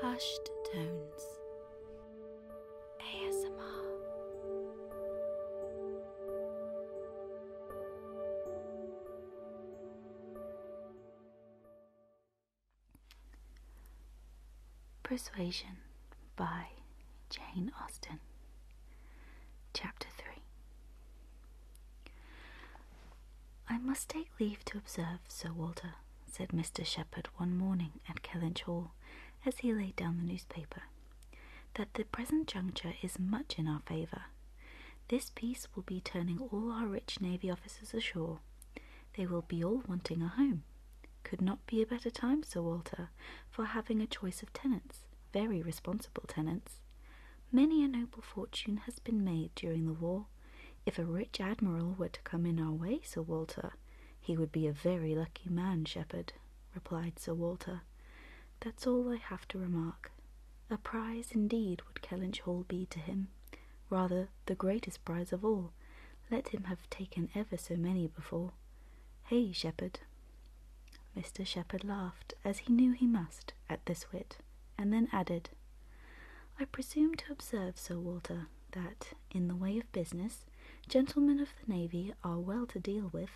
Hushed Tones ASMR Persuasion by Jane Austen Chapter 3 I must take leave to observe, Sir Walter, said Mr. Shepherd one morning at Kellynch Hall, as he laid down the newspaper, that the present juncture is much in our favour. This peace will be turning all our rich navy officers ashore. They will be all wanting a home. Could not be a better time, Sir Walter, for having a choice of tenants, very responsible tenants. Many a noble fortune has been made during the war, if a rich admiral were to come in our way, Sir Walter, he would be a very lucky man, shepherd, replied Sir Walter. That's all I have to remark. A prize indeed would Kellynch Hall be to him, rather the greatest prize of all, let him have taken ever so many before. Hey, shepherd. Mr. Shepherd laughed, as he knew he must, at this wit, and then added, I presume to observe, Sir Walter, that, in the way of business, gentlemen of the navy are well to deal with.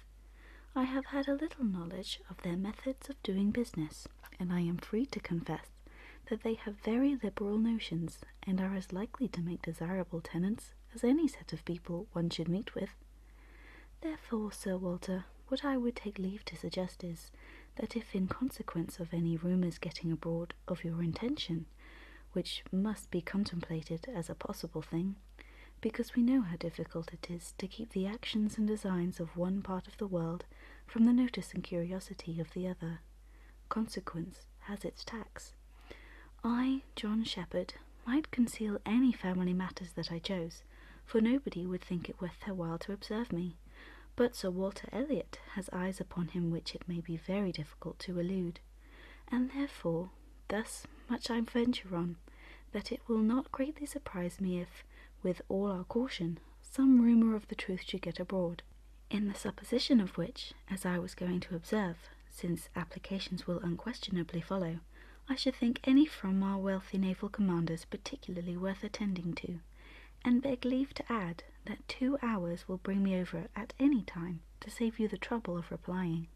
I have had a little knowledge of their methods of doing business, and I am free to confess that they have very liberal notions, and are as likely to make desirable tenants as any set of people one should meet with. Therefore, Sir Walter, what I would take leave to suggest is that if in consequence of any rumours getting abroad of your intention, which must be contemplated as a possible thing, because we know how difficult it is to keep the actions and designs of one part of the world from the notice and curiosity of the other. Consequence has its tax. I, John Shepherd, might conceal any family matters that I chose, for nobody would think it worth their while to observe me but Sir Walter Elliot has eyes upon him which it may be very difficult to elude, and therefore thus much I venture on, that it will not greatly surprise me if, with all our caution, some rumour of the truth should get abroad, in the supposition of which, as I was going to observe, since applications will unquestionably follow, I should think any from our wealthy naval commanders particularly worth attending to, and beg leave to add that two hours will bring me over at any time to save you the trouble of replying.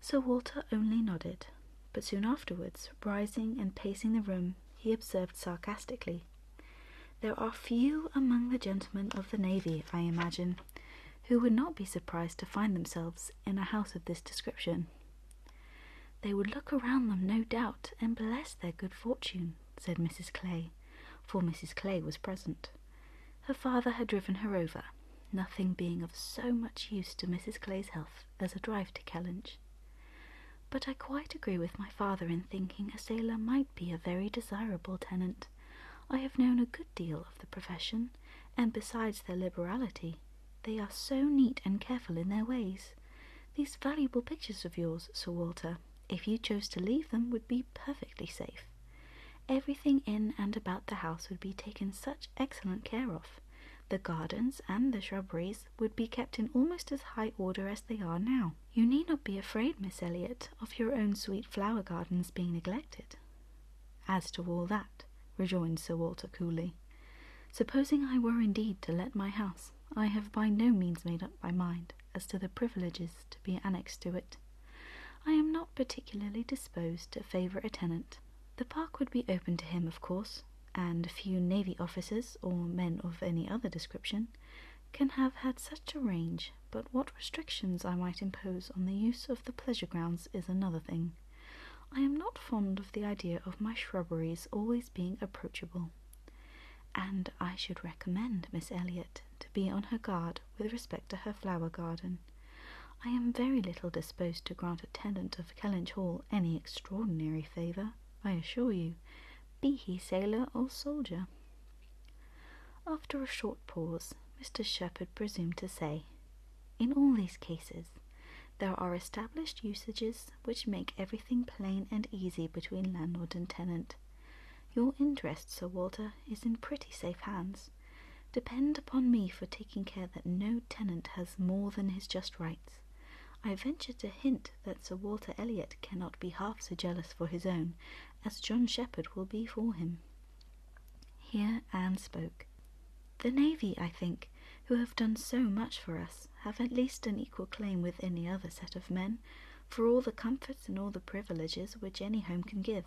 Sir Walter only nodded, but soon afterwards, rising and pacing the room, he observed sarcastically, There are few among the gentlemen of the navy, I imagine, who would not be surprised to find themselves in a house of this description. They would look around them, no doubt, and bless their good fortune, said Mrs. Clay, for Mrs. Clay was present. Her father had driven her over, nothing being of so much use to Mrs. Clay's health as a drive to Kellynch. But I quite agree with my father in thinking a sailor might be a very desirable tenant. I have known a good deal of the profession, and besides their liberality, they are so neat and careful in their ways these valuable pictures of yours, Sir Walter, if you chose to leave them, would be perfectly safe. Everything in and about the house would be taken such excellent care of. The gardens and the shrubberies would be kept in almost as high order as they are now. You need not be afraid, Miss Elliot, of your own sweet flower gardens being neglected. As to all that, rejoined Sir Walter coolly, supposing I were indeed to let my house, I have by no means made up my mind as to the privileges to be annexed to it. I am not particularly disposed to favour a tenant. The park would be open to him, of course, and few navy officers, or men of any other description, can have had such a range, but what restrictions I might impose on the use of the pleasure grounds is another thing. I am not fond of the idea of my shrubberies always being approachable and I should recommend Miss Elliot to be on her guard with respect to her flower garden. I am very little disposed to grant a tenant of Kellynch Hall any extraordinary favour, I assure you, be he sailor or soldier. After a short pause, Mr. Shepherd presumed to say, In all these cases, there are established usages which make everything plain and easy between landlord and tenant. Your interest, Sir Walter, is in pretty safe hands. Depend upon me for taking care that no tenant has more than his just rights. I venture to hint that Sir Walter Elliot cannot be half so jealous for his own as John Shepherd will be for him. Here Anne spoke. The navy, I think, who have done so much for us have at least an equal claim with any other set of men for all the comforts and all the privileges which any home can give.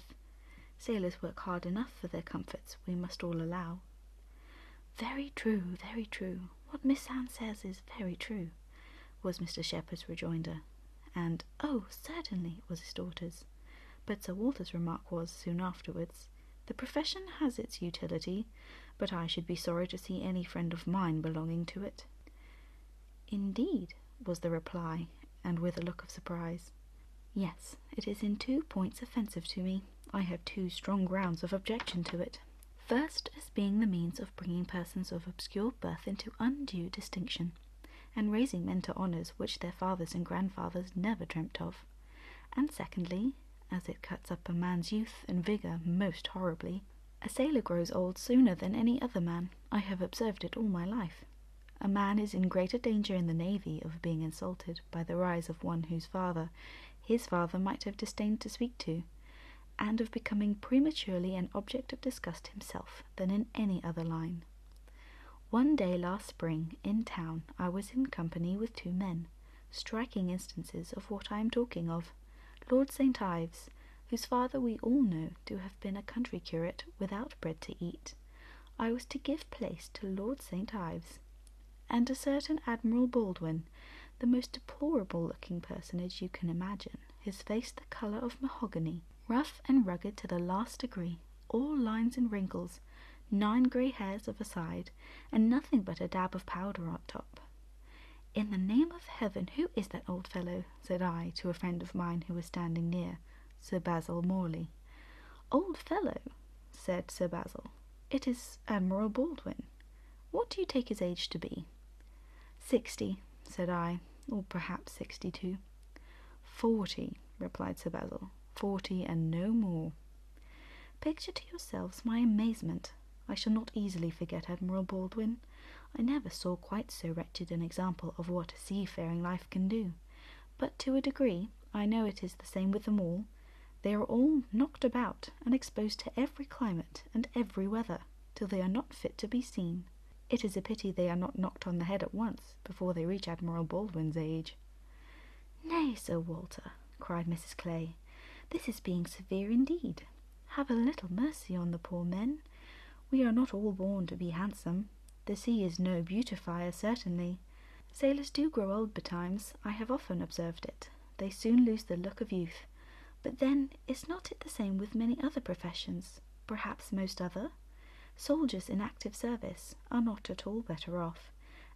Sailors work hard enough for their comforts, we must all allow. Very true, very true. What Miss Anne says is very true, was Mr. Shepherd's rejoinder. And, oh, certainly, was his daughter's. But Sir Walter's remark was, soon afterwards, the profession has its utility but I should be sorry to see any friend of mine belonging to it. Indeed, was the reply, and with a look of surprise. Yes, it is in two points offensive to me. I have two strong grounds of objection to it. First, as being the means of bringing persons of obscure birth into undue distinction, and raising men to honours which their fathers and grandfathers never dreamt of. And secondly, as it cuts up a man's youth and vigour most horribly, a sailor grows old sooner than any other man. I have observed it all my life. A man is in greater danger in the navy of being insulted by the rise of one whose father his father might have disdained to speak to, and of becoming prematurely an object of disgust himself, than in any other line. One day last spring, in town, I was in company with two men striking instances of what I am talking of. Lord St. Ives, whose father we all know to have been a country curate without bread to eat, I was to give place to Lord St. Ives, and a certain Admiral Baldwin, the most deplorable looking personage you can imagine, his face the colour of mahogany, rough and rugged to the last degree, all lines and wrinkles, nine grey hairs of a side, and nothing but a dab of powder on top, in the name of heaven, who is that old fellow? said I to a friend of mine who was standing near, Sir Basil Morley. Old fellow, said Sir Basil, it is Admiral Baldwin. What do you take his age to be? "Sixty," said I, or perhaps sixty-two." "Forty," replied Sir Basil, "Forty and no more. Picture to yourselves my amazement I shall not easily forget Admiral Baldwin. I never saw quite so wretched an example of what a seafaring life can do. But to a degree, I know it is the same with them all. They are all knocked about and exposed to every climate and every weather till they are not fit to be seen. It is a pity they are not knocked on the head at once before they reach Admiral Baldwin's age. Nay, Sir Walter, cried Mrs. Clay, this is being severe indeed. Have a little mercy on the poor men. We are not all born to be handsome. The sea is no beautifier, certainly. Sailors do grow old betimes, I have often observed it. They soon lose the look of youth. But then, is not it the same with many other professions? Perhaps most other? Soldiers in active service are not at all better off,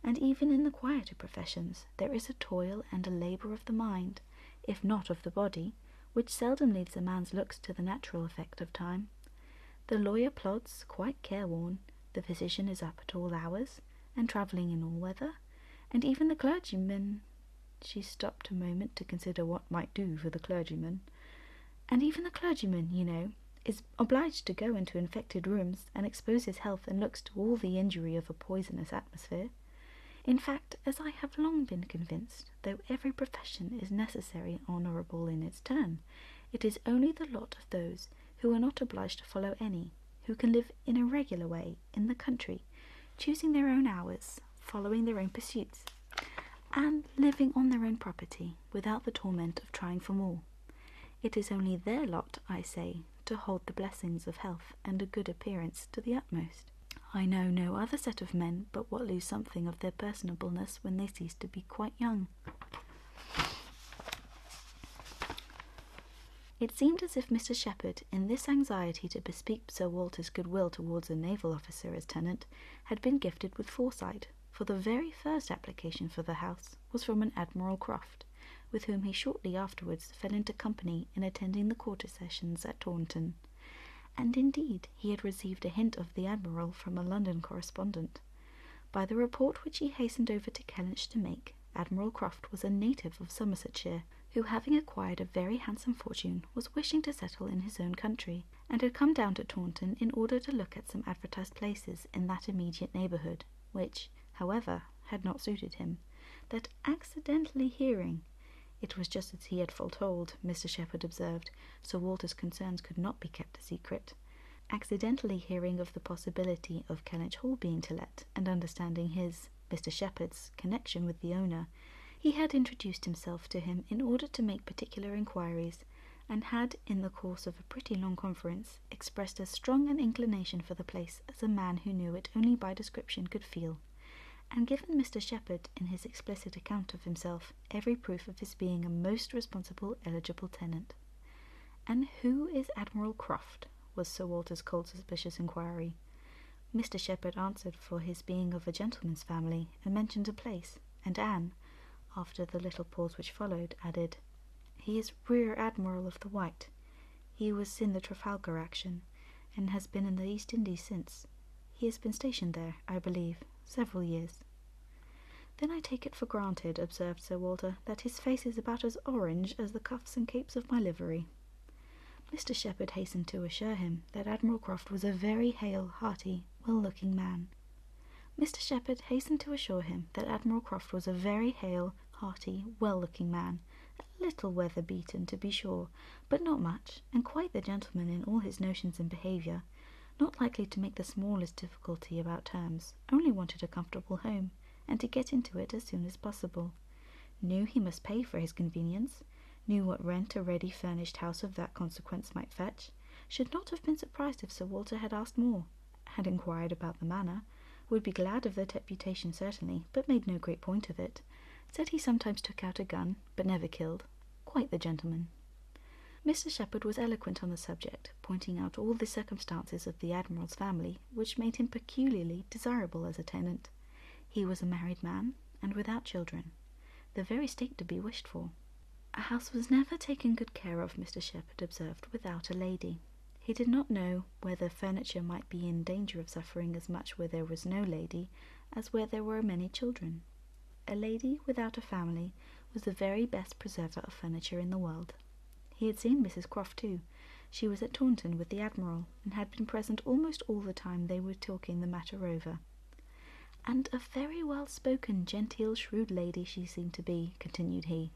and even in the quieter professions there is a toil and a labour of the mind if not of the body, which seldom leaves a man's looks to the natural effect of time. The lawyer plods, quite careworn, the physician is up at all hours, and travelling in all weather, and even the clergyman she stopped a moment to consider what might do for the clergyman. And even the clergyman, you know, is obliged to go into infected rooms and expose his health and looks to all the injury of a poisonous atmosphere. In fact, as I have long been convinced, though every profession is necessary and honourable in its turn, it is only the lot of those who are not obliged to follow any, who can live in a regular way in the country, choosing their own hours, following their own pursuits, and living on their own property without the torment of trying for more. It is only their lot, I say, to hold the blessings of health and a good appearance to the utmost. I know no other set of men but what lose something of their personableness when they cease to be quite young. It seemed as if Mr. Shepherd, in this anxiety to bespeak Sir Walter's goodwill towards a naval officer as tenant, had been gifted with foresight, for the very first application for the house was from an Admiral Croft, with whom he shortly afterwards fell into company in attending the quarter sessions at Taunton, and indeed he had received a hint of the admiral from a London correspondent. By the report which he hastened over to Kellynch to make, Admiral Croft was a native of Somersetshire, who, having acquired a very handsome fortune, was wishing to settle in his own country, and had come down to Taunton in order to look at some advertised places in that immediate neighbourhood, which, however, had not suited him, that accidentally hearing it was just as he had foretold, Mr. Shepherd observed, Sir Walter's concerns could not be kept a secret accidentally hearing of the possibility of Kellynch Hall being to let, and understanding his, Mr. Shepherd's, connection with the owner, he had introduced himself to him in order to make particular inquiries, and had, in the course of a pretty long conference, expressed as strong an inclination for the place as a man who knew it only by description could feel. And given Mr. Shepherd, in his explicit account of himself, every proof of his being a most responsible, eligible tenant. And who is Admiral Croft? was Sir Walter's cold, suspicious inquiry. Mr. Shepherd answered for his being of a gentleman's family, and mentioned a place, and Anne, after the little pause which followed, added, He is Rear Admiral of the White. He was in the Trafalgar action, and has been in the East Indies since. He has been stationed there, I believe, several years. Then I take it for granted, observed Sir Walter, that his face is about as orange as the cuffs and capes of my livery. Mr. Shepherd hastened to assure him that Admiral Croft was a very hale, hearty, well-looking man. Mr. Shepherd hastened to assure him that Admiral Croft was a very hale, hearty, well-looking man, little weather beaten, to be sure, but not much, and quite the gentleman in all his notions and behaviour, not likely to make the smallest difficulty about terms, only wanted a comfortable home, and to get into it as soon as possible. Knew he must pay for his convenience, knew what rent a ready furnished house of that consequence might fetch, should not have been surprised if Sir Walter had asked more, had inquired about the manor, would be glad of the deputation certainly, but made no great point of it, said he sometimes took out a gun, but never killed. Quite the gentleman. Mr. Shepherd was eloquent on the subject, pointing out all the circumstances of the Admiral's family which made him peculiarly desirable as a tenant. He was a married man, and without children, the very state to be wished for. A house was never taken good care of, Mr. Shepherd observed, without a lady. He did not know whether furniture might be in danger of suffering as much where there was no lady as where there were many children. A lady without a family was the very best preserver of furniture in the world. He had seen Mrs. Croft too. She was at Taunton with the Admiral, and had been present almost all the time they were talking the matter over. And a very well spoken, genteel, shrewd lady she seemed to be, continued he.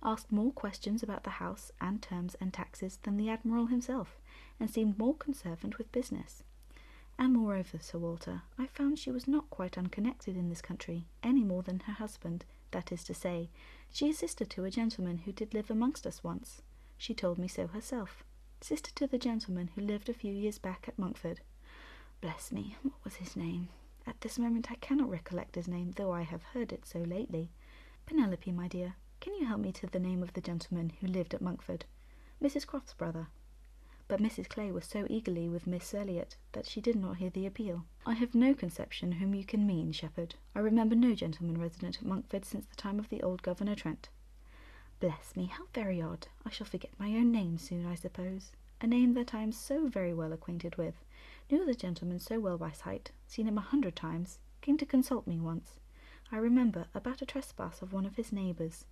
Asked more questions about the house and terms and taxes than the Admiral himself, and seemed more conservant with business. And moreover, Sir Walter, I found she was not quite unconnected in this country, any more than her husband, that is to say, she is sister to a gentleman who did live amongst us once. She told me so herself. Sister to the gentleman who lived a few years back at Monkford. Bless me, what was his name? At this moment I cannot recollect his name, though I have heard it so lately. Penelope, my dear, can you help me to the name of the gentleman who lived at Monkford? Mrs. Croft's brother. But Mrs. Clay was so eagerly with Miss Elliot that she did not hear the appeal. I have no conception whom you can mean, Shepherd. I remember no gentleman resident at Monkford since the time of the old Governor Trent. Bless me, how very odd! I shall forget my own name soon, I suppose. A name that I am so very well acquainted with. Knew the gentleman so well by sight, seen him a hundred times, came to consult me once, I remember, about a trespass of one of his neighbours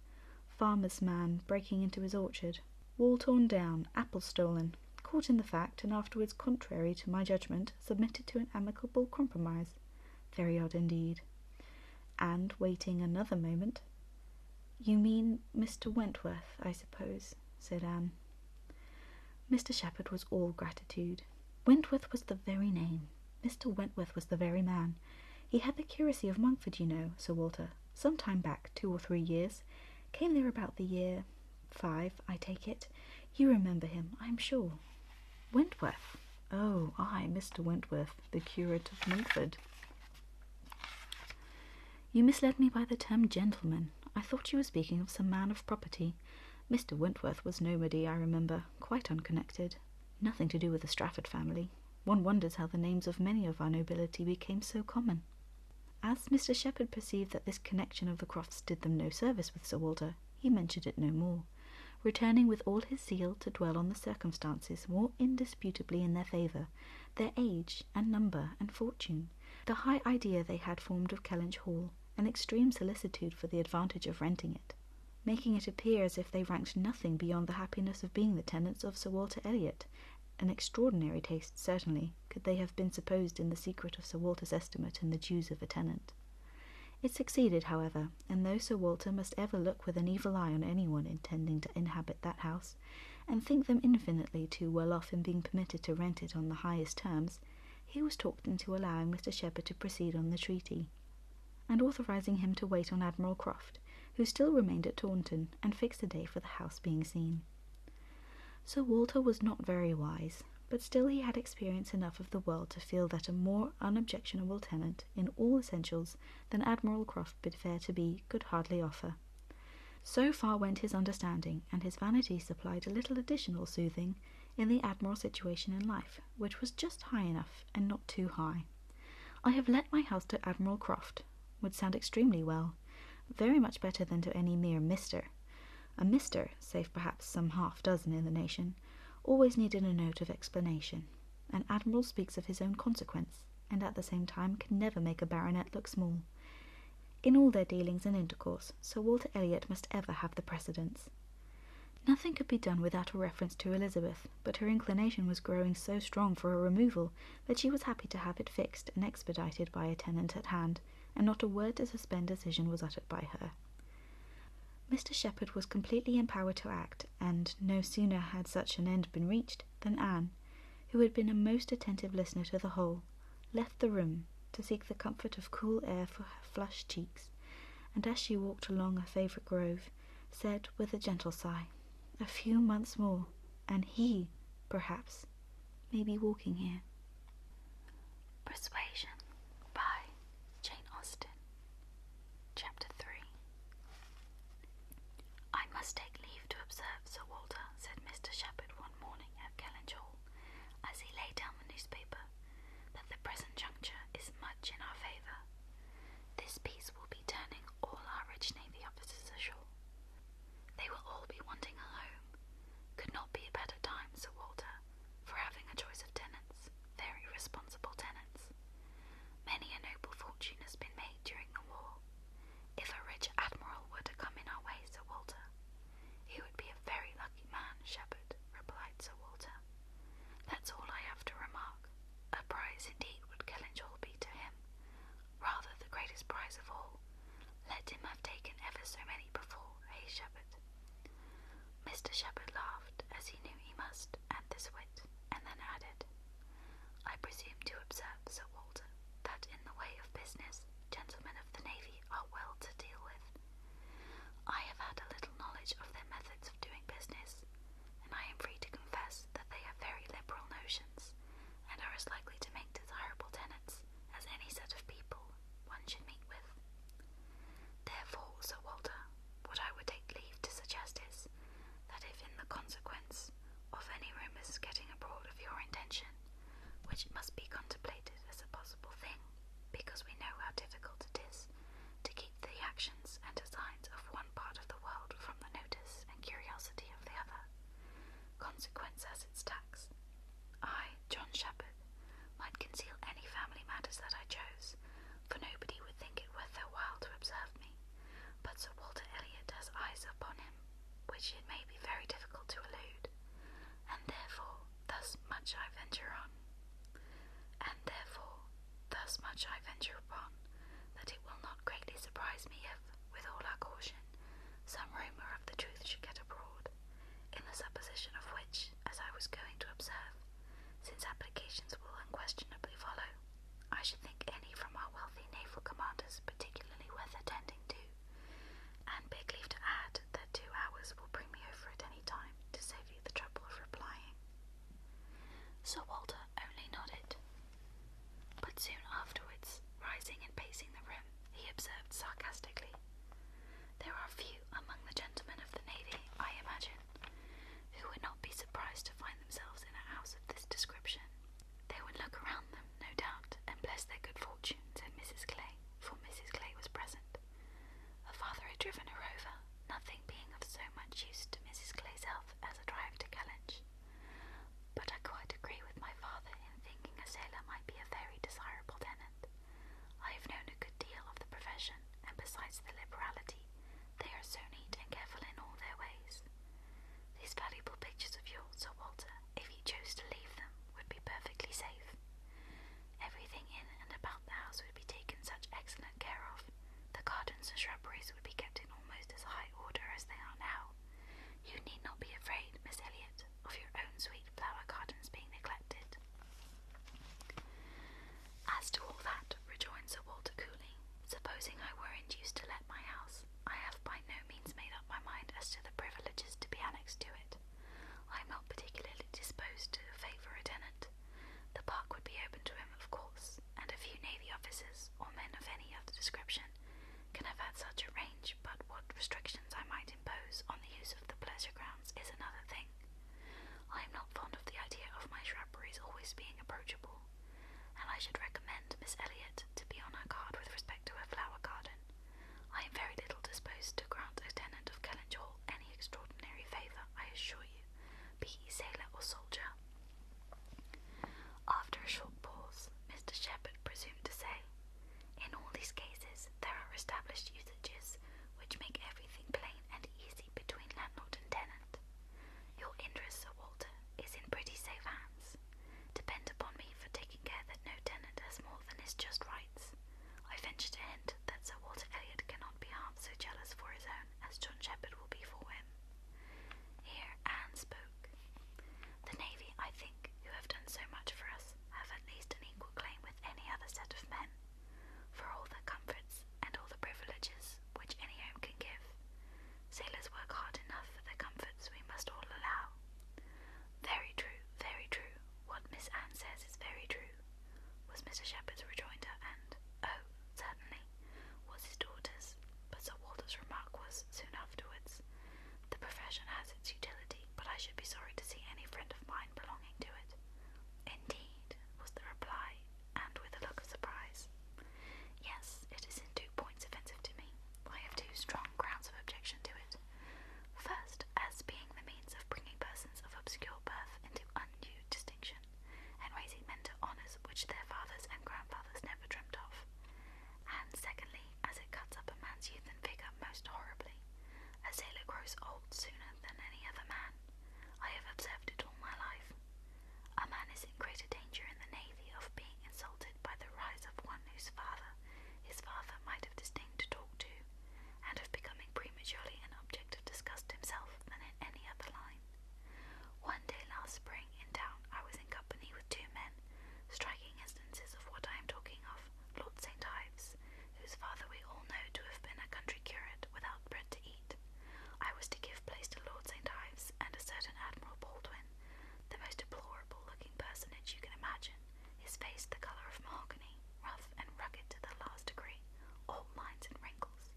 farmer's man breaking into his orchard, wall torn down, apple stolen, caught in the fact, and afterwards, contrary to my judgment, submitted to an amicable compromise. Very odd indeed. And, waiting another moment, You mean Mr. Wentworth, I suppose, said Anne. Mr. Shepherd was all gratitude. Wentworth was the very name. Mr. Wentworth was the very man. He had the curacy of Monkford, you know, Sir Walter, some time back, two or three years. Came there about the year five, I take it. You remember him, I am sure. Wentworth? Oh, ay, Mr. Wentworth, the curate of Monkford. You misled me by the term gentleman. I thought you were speaking of some man of property. Mr. Wentworth was nomady, I remember, quite unconnected. Nothing to do with the Strafford family. One wonders how the names of many of our nobility became so common. As Mr. Shepherd perceived that this connection of the Crofts did them no service with Sir Walter, he mentioned it no more, returning with all his zeal to dwell on the circumstances more indisputably in their favour, their age and number and fortune, the high idea they had formed of Kellynch Hall, an extreme solicitude for the advantage of renting it making it appear as if they ranked nothing beyond the happiness of being the tenants of Sir Walter Elliot. An extraordinary taste, certainly, could they have been supposed in the secret of Sir Walter's estimate and the dues of a tenant. It succeeded, however, and though Sir Walter must ever look with an evil eye on any one intending to inhabit that house, and think them infinitely too well off in being permitted to rent it on the highest terms, he was talked into allowing Mr. Shepherd to proceed on the treaty, and authorizing him to wait on Admiral Croft, who still remained at Taunton, and fixed a day for the house being seen. Sir Walter was not very wise, but still he had experience enough of the world to feel that a more unobjectionable tenant in all essentials than Admiral Croft bid fair to be could hardly offer. So far went his understanding, and his vanity supplied a little additional soothing in the Admiral's situation in life, which was just high enough and not too high. I have let my house to Admiral Croft, would sound extremely well, very much better than to any mere mister. A mister, save perhaps some half dozen in the nation, always needed a note of explanation. An admiral speaks of his own consequence, and at the same time can never make a baronet look small. In all their dealings and intercourse, Sir Walter Elliot must ever have the precedence. Nothing could be done without a reference to Elizabeth, but her inclination was growing so strong for a removal that she was happy to have it fixed and expedited by a tenant at hand, and not a word to suspend decision was uttered by her. Mr. Shepherd was completely empowered to act, and no sooner had such an end been reached than Anne, who had been a most attentive listener to the whole, left the room to seek the comfort of cool air for her flushed cheeks, and as she walked along her favourite grove, said with a gentle sigh, A few months more, and he, perhaps, may be walking here. Persuasion by Jane Austen, Chapter 3. I must take leave to observe, Sir Walter, said Mr. Shepherd one morning at Kellynch Hall, as he laid down the newspaper that the present juncture is much in our favour. This peace will be turning all our rich Navy officers ashore. They will all be wanting a home. Could not be a better time, Sir Walter, for having a choice of tenants, very responsible tenants. Many a noble fortune has been made during the war. If a rich admiral were to come in our way, Sir Walter, he would be a very lucky man, Shepherd, replied Sir Walter. That's all I have to remark. A prize indeed would Kellynch be to him, rather the greatest prize of all. Let him have taken ever so many before, eh, Shepherd? Mr. Shepherd laughed, as he knew he must, at this wit, and then added, I presume to observe, Sir Walter, that in the way of business, gentlemen of the navy are well to deal with. I have had a little knowledge of their methods of doing business, and I am free to confess that they have very liberal notions, and are as likely to make desirable tenants as any set of people one should meet with. Therefore, Sir Walter, what I would take leave to suggest is that if in the consequence of any rumours getting abroad of your intention, which must be contemplated as a possible thing, because we know how difficult it is to keep the actions and designs of one part of the world from the notice and curiosity of the other. Consequence has its tax. I, John Shepherd, might conceal any family matters that I chose, for nobody would think it worth their while to observe me. But Sir Walter Elliot has eyes upon him, which it may be very difficult to elude, and therefore thus much I venture on, and therefore thus much I venture upon, that it will not greatly surprise me if, with all our caution, some rumour of the truth should get abroad, in the supposition of which, as I was going to observe, since applications will unquestionably follow, I should think any from our wealthy naval commanders particularly worth attending to, and beg leave to add that two hours will bring me over at any time to save the trouble of replying. Sir Walter only nodded. But soon afterwards, rising and pacing the room, he observed sarcastically, There are few among the gentlemen of the navy, I imagine, who would not be surprised to find themselves in a house of this description. They would look around them, no doubt, and bless their good fortune, said Mrs. Clay, for Mrs. Clay was present. Her father had driven her over, nothing being of so much use to Mrs. Clay's health as a drive to Kellynch. But I quite agree with my father in thinking a sailor might be a very desirable tenant. I have known a good deal of the profession, and besides the liberality, they are so neat and careful in all their ways. These valuable pictures of yours, Sir Walter, if you chose to leave them, would be perfectly safe. Everything in and about the house would be taken such excellent care of. The gardens and shrubberies would be kept in almost as high order as they are now. You need not be afraid, Miss Elliot, of your own sweet flower gardens being neglected. As to all that, rejoined Sir Walter coolly, supposing I were induced to let my house, I have by no means made up my mind as to the privileges to be annexed to it. I'm not particularly disposed to favour a tenant. The park would be open to him, of course, and a few Navy officers, or men of any other description, can have such a range, but what restrictions I might impose on the use of the pleasure grounds is another thing. I am not fond of the idea of my shrubberies always being approachable, and I should recommend Miss Elliot to be on her guard with respect to her flower garden. I am very little disposed to grant a tenant of Kellynch Hall any extraordinary favour, I assure you, be he sailor or soldier. After a short pause, Mr. Shepherd presumed to say, In all these cases, there are established usages which make everything plain and easy between landlord and tenant. Your interest, Sir Walter, is in pretty safe hands. Depend upon me for taking care that no tenant has more than his just rights, I venture to hint that Sir Walter Elliot cannot be half so jealous for his own as John Shepherd will be for him. Here Anne spoke. The Navy, I think, who have done so much for us, have at least an equal claim with any other set of men, for all the comforts and all the privileges which any home can give. Sailors work hard enough for the comforts we must all allow. Very true, very true. What Miss Anne says is very true was Mr. Shepherd's rejoinder, and, oh, certainly, was his daughter's, but Sir Walter's remark was, soon afterwards, the profession has its utility, but I should be sorry to see any friend of mine belonging to it. Indeed, was the reply, and with a look of surprise. Yes, it is in two points offensive to me. I have two strong grounds of objection to it. First, as being the means of bringing persons of obscure birth into undue distinction, and raising men to honours which their fathers and grandfathers never dreamt of. And secondly, as it cuts up a man's youth and vigour most horribly, a sailor grows old sooner than any other man. I have observed it all my life. A man is in greater danger in the navy of being insulted by the rise of one whose father his father might have disdained to talk to, and of becoming prematurely an object of disgust himself than in any other line. One day last spring in town I was in company with two men, striking instances of what I am talking of, Lord St. Ives, whose father we all know to have been a country curate without bread to eat. I was to give place to Lord St. Ives and a certain Admiral Baldwin, the most deplorable looking personage you can imagine, his face the colour of mahogany, rough and rugged to the last degree, all lines and wrinkles,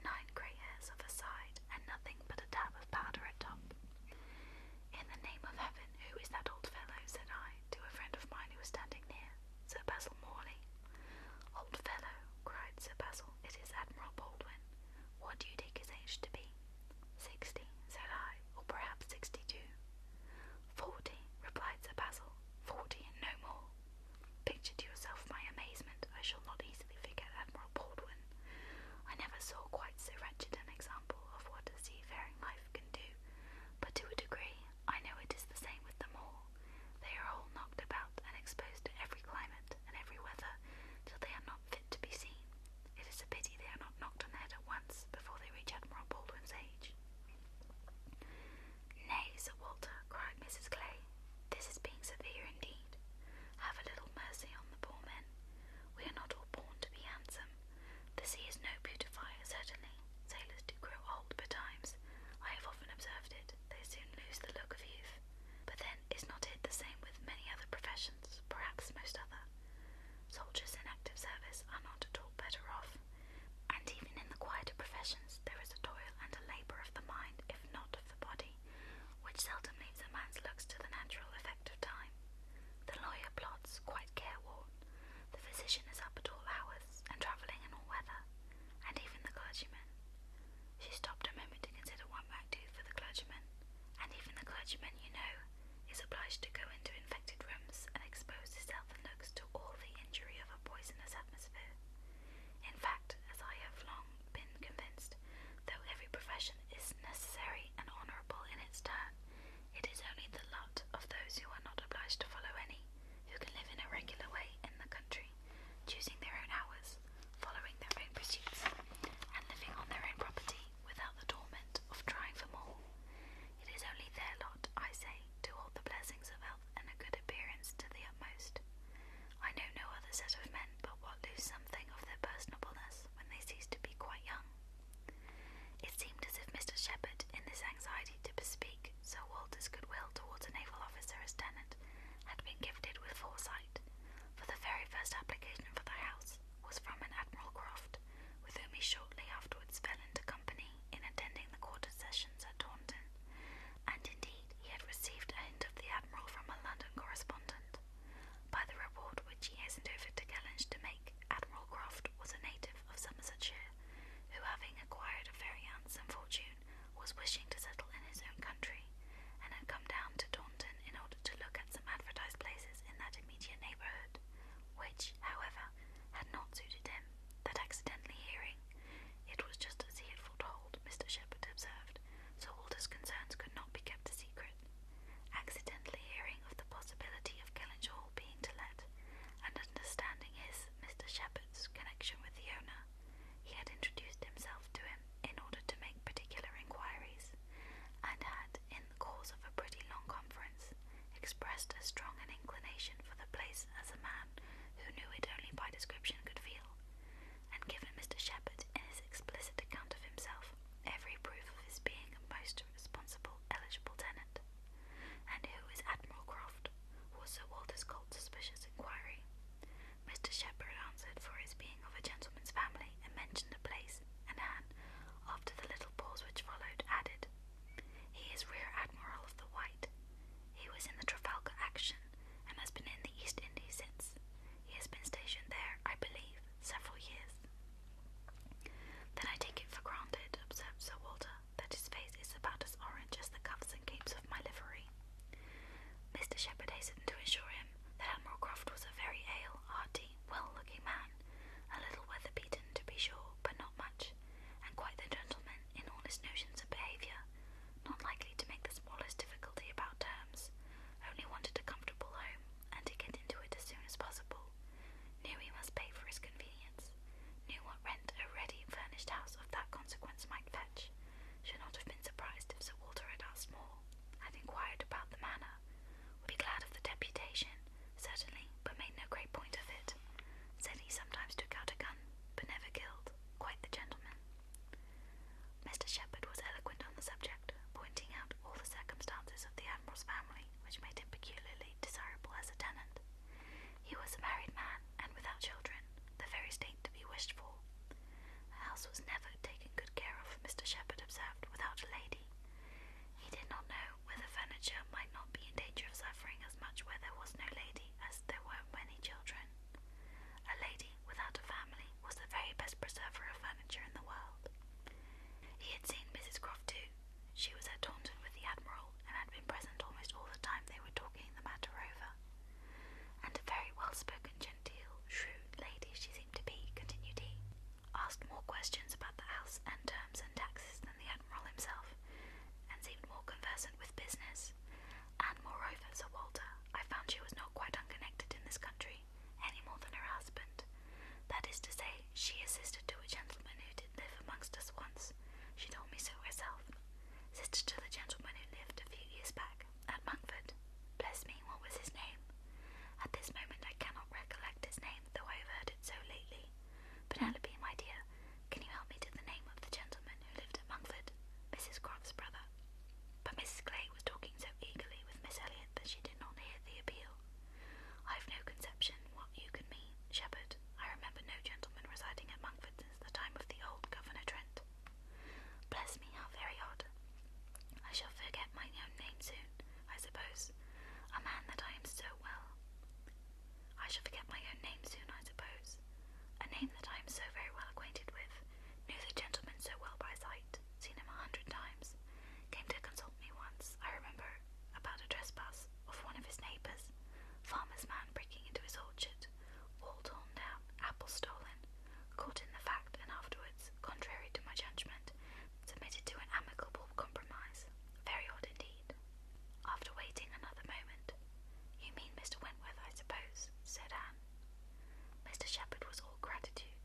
nine grey hairs of a side, and nothing but a dab of powder at top. In the name of heaven, who is that old fellow? said I to a friend of mine who was standing near, Sir Basil Morley. Old fellow, cried Sir Basil, it is Admiral Baldwin. What do you take his age to be? Sixty, said I, or perhaps sixty two. Forty, replied Sir Basil. Forty and no more. Picture to yourself my amazement, I shall not easily forget Admiral Baldwin. I never saw quite so wretched an example of what a seafaring life can do, but to a degree, I know it is the same with them all. They are all knocked about and exposed to every climate and every weather till they are not fit to be seen. It is a pity they are not knocked on the head at once before they reach Admiral Baldwin's age. Nay, Sir Walter, cried Mrs. Clay, this is being severe indeed. Have a little mercy on the poor men. We are not all born to be handsome. The sea is no beautifier, certainly. Sailors do grow old betimes. I have often observed it. They soon lose the look of youth. But then, is not it the same with many other professions, perhaps most other? Soldiers in active service are not at all better off. And even in the quieter professions, there is a toil and a labour of the mind, if not of the body, which seldom leaves a man's looks to the natural effect of time. The lawyer plods, quite careworn, the physician is up at all hours, and travelling in all weather, and even the clergyman. She stopped a moment to consider what might do for the clergyman, and even the clergyman, you know, is obliged to go into infected rooms and expose himself and looks to all the injury of of a poisonous atmosphere. In fact, as I have long been convinced, though every profession is necessary and honourable in its turn, it is only the lot of those who are not obliged to follow any, who can live in a regular way in the country, choosing their own hours, following their own pursuits, and living on their own property without the torment of trying for more. It is only their lot, I say, to hold the blessings of health and a good appearance to the utmost. I know no other set of men but what lose something of their personableness when they cease to be quite young. It seemed as if Mr. Shepherd, in this anxiety to bespeak Sir Walter's goodwill towards a naval officer as tenant, had been gifted with foresight, for the very first application for the house was from an Admiral Croft, with whom he shortly afterwards fell into company in attending the quarter sessions at Taunton, and indeed he had received a hint of the Admiral from a London correspondent. By the report which he hastened over to Kellynch to make, Admiral Croft was a native of Somersetshire, who, having acquired a very handsome fortune, was wishing to settle in his own country, and had come down to Taunton in order to look at some advertised places in that immediate neighbourhood, which, however, had not suited him, that accidentally hearing it was just as he had foretold, Mr. Shepherd observed, so Walter's concerns could not be kept a secret. Accidentally hearing of the possibility of Kellynch Hall being to let, and understanding his, Mr. Shepherd's, connection with the owner, he had introduced himself to him in order to make particular inquiries, and had, in the course of a pretty long conference, expressed as strong an inclination for the place as a man who knew it only by description could feel, and given Mr. Shepherd, in his explicit account of himself, every proof of his being a most responsible, eligible tenant, and who is Admiral Croft, was Sir Walter's cold, suspicious inquiry. Mr. Shepherd answered for his being of a gentleman's family, and mentioned a place, and Anne, after the little pause which followed, added, he is Rear Admiral of the White. He was in the Trafalgar action and has been in the East Indies since. He has been stationed there, I believe, several years. Then I take it for granted, observed Sir Walter, that his face is about as orange as the cuffs and capes of my livery. Mr. Shepherd hastened to assure him that Admiral Croft was a very hale, hearty, well looking man, a little weather beaten to be sure, but not much, and quite the gentleman man, in all his notions of behaviour, not likely to make the smallest difficulty about terms, only wanted a comfortable home, and to get into it as soon as possible, knew he must pay for his convenience, knew what rent a ready furnished house of that consequence might fetch, should not have been surprised if Sir Walter had asked more, had inquired about the manor, would be glad of the deputation, certainly, but made no great point of it. Said he sometimes took out a gun but never killed, quite the gentleman. Mr. Shepherd was eloquent on the subject, pointing out all the circumstances of the Admiral's family which made him peculiarly desirable as a tenant. He was a married man and without children, the very state to be wished for. The house was never taken good care of, Mr. Shepherd observed, without a lady. He did not know whether furniture might not be in danger of suffering as much where there was no lady as there were many children. A lady without a family was the very best preserver of furniture in the world. He had seen Mrs. Croft too. She was at Taunton with the Admiral, and had been present almost all the time they were talking the matter over. And a very well spoken, genteel, shrewd lady she seemed to be, continued he, asked more questions about the house and terms and taxes the Admiral himself, and seemed more conversant with business. And moreover, Sir Walter, I found she was not quite unconnected in this country, any more than her husband. That is to say, she is sister to a gentleman who did live amongst us once. She told me so herself. Sister to the gentleman who lived a few years back at Monkford. Bless me, what was his name? At this moment I cannot recollect his name, though I have heard it so lately. Penelope, my dear, can you help me to the name of the gentleman who lived at Monkford? Mrs. Croft's brother. But Mrs. Clay was talking so eagerly with Miss Elliot that she did not hear the appeal. I've no conception what you can mean, Shepherd. I remember no gentleman residing at Monkford since the time of the old Governor Trent. Bless me, how very odd. I shall forget my own name soon, I suppose. A man that I am so well I shall forget my own name soon, I suppose. A name that I am so very well acquainted with, knew the gentleman so well by sight, seen him a hundred times, came to consult me once, I remember, about a trespass of one of his neighbours, farmer's man breaking into his orchard, wall torn down, apples stolen, caught in the fact, and afterwards, contrary to my judgment, submitted to an amicable compromise. Very odd indeed. After waiting another moment, You mean Mr. Wentworth, I suppose, said Anne. Mr. Shepherd was all gratitude.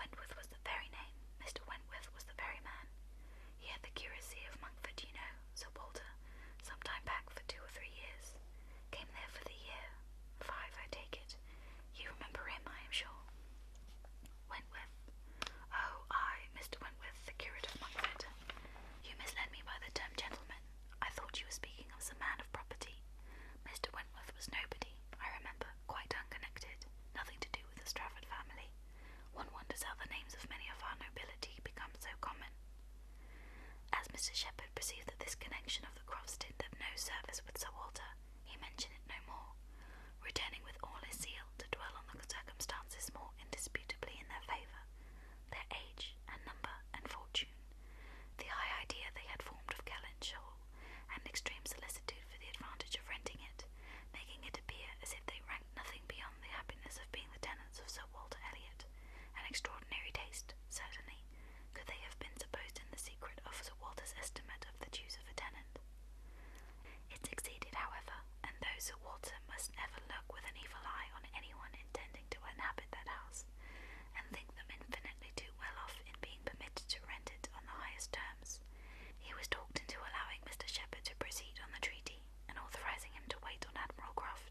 Wentworth was the very name, Mr. Wentworth was the very man. He had the curacy of Monkford, you know, Sir Walter, some time back for two or three years. Came there for the year, five, I take it. You remember him, I am sure. Wentworth. Oh, I, Mr. Wentworth, the curate of Monkford. You misled me by the term gentleman. I thought you were speaking of some man of property. Mr. Wentworth was nobody, I remember, quite unconnected, nothing to do with the Strafford family. One wonders how the names of many of our nobility become so common. As Mr. Shepherd perceived that this connection of the Crofts did them no service with Sir Walter, he mentioned it no more, returning with all his zeal to dwell on the circumstances more indisputably in their favour, their age and number and fortune, the high idea they had formed of Kellynch Hall, and extreme solicitude for the advantage of renting it, making it appear as if they ranked nothing beyond the happiness of being the tenants of Sir Walter Elliot. An extraordinary taste, certainly, could they have been supposed in the secret of Sir Walter's estimate of the dues of a tenant. It succeeded, however, and those at water must never look with an evil eye on anyone intending to inhabit that house, and think them infinitely too well off in being permitted to rent it on the highest terms. He was talked into allowing Mr. Shepherd to proceed on the treaty, and authorizing him to wait on Admiral Croft,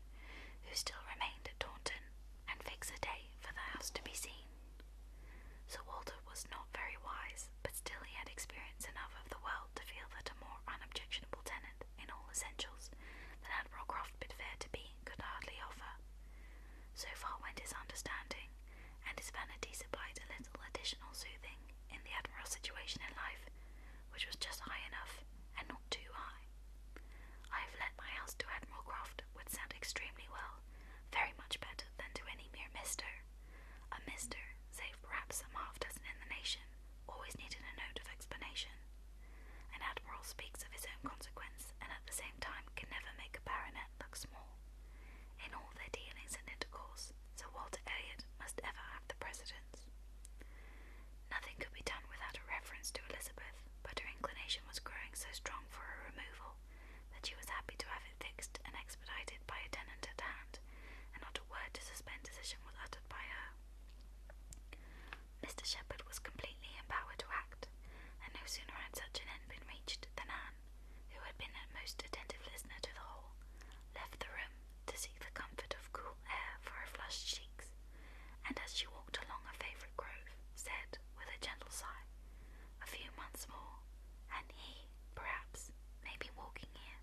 who still remained at Taunton, and fix a day for the house to be seen. Sir Walter was not very wise, but still he had experience enough of the world to feel that a more unobjectionable tenant in all essentials that Admiral Croft bid fair to be could hardly offer. So far went his understanding, and his vanity supplied a little additional soothing in the Admiral's situation in life, which was just high enough and not too high. I have let my house to Admiral Croft would sound extremely well, very much better than to any mere mister. A mister, save perhaps a half dozen in the nation, always needed a note of explanation. An admiral speaks of his own consequence and at the same time can never make a baronet look small. In all their dealings and intercourse, Sir Walter Elliot must ever have the precedence. Nothing could be done without a reference to Elizabeth, but her inclination was growing so strong for her removal that she was happy to have it fixed and expedited by a tenant at hand, and not a word to suspend decision was uttered by her. Mr. Shepherd was completely empowered to act, and no sooner had such an end been reached than Anne, who had been a most attentive listener to the whole, left the room to seek the comfort of cool air for her flushed cheeks, and as she walked along a favourite grove, said, with a gentle sigh, A few months more, and he, perhaps, may be walking here.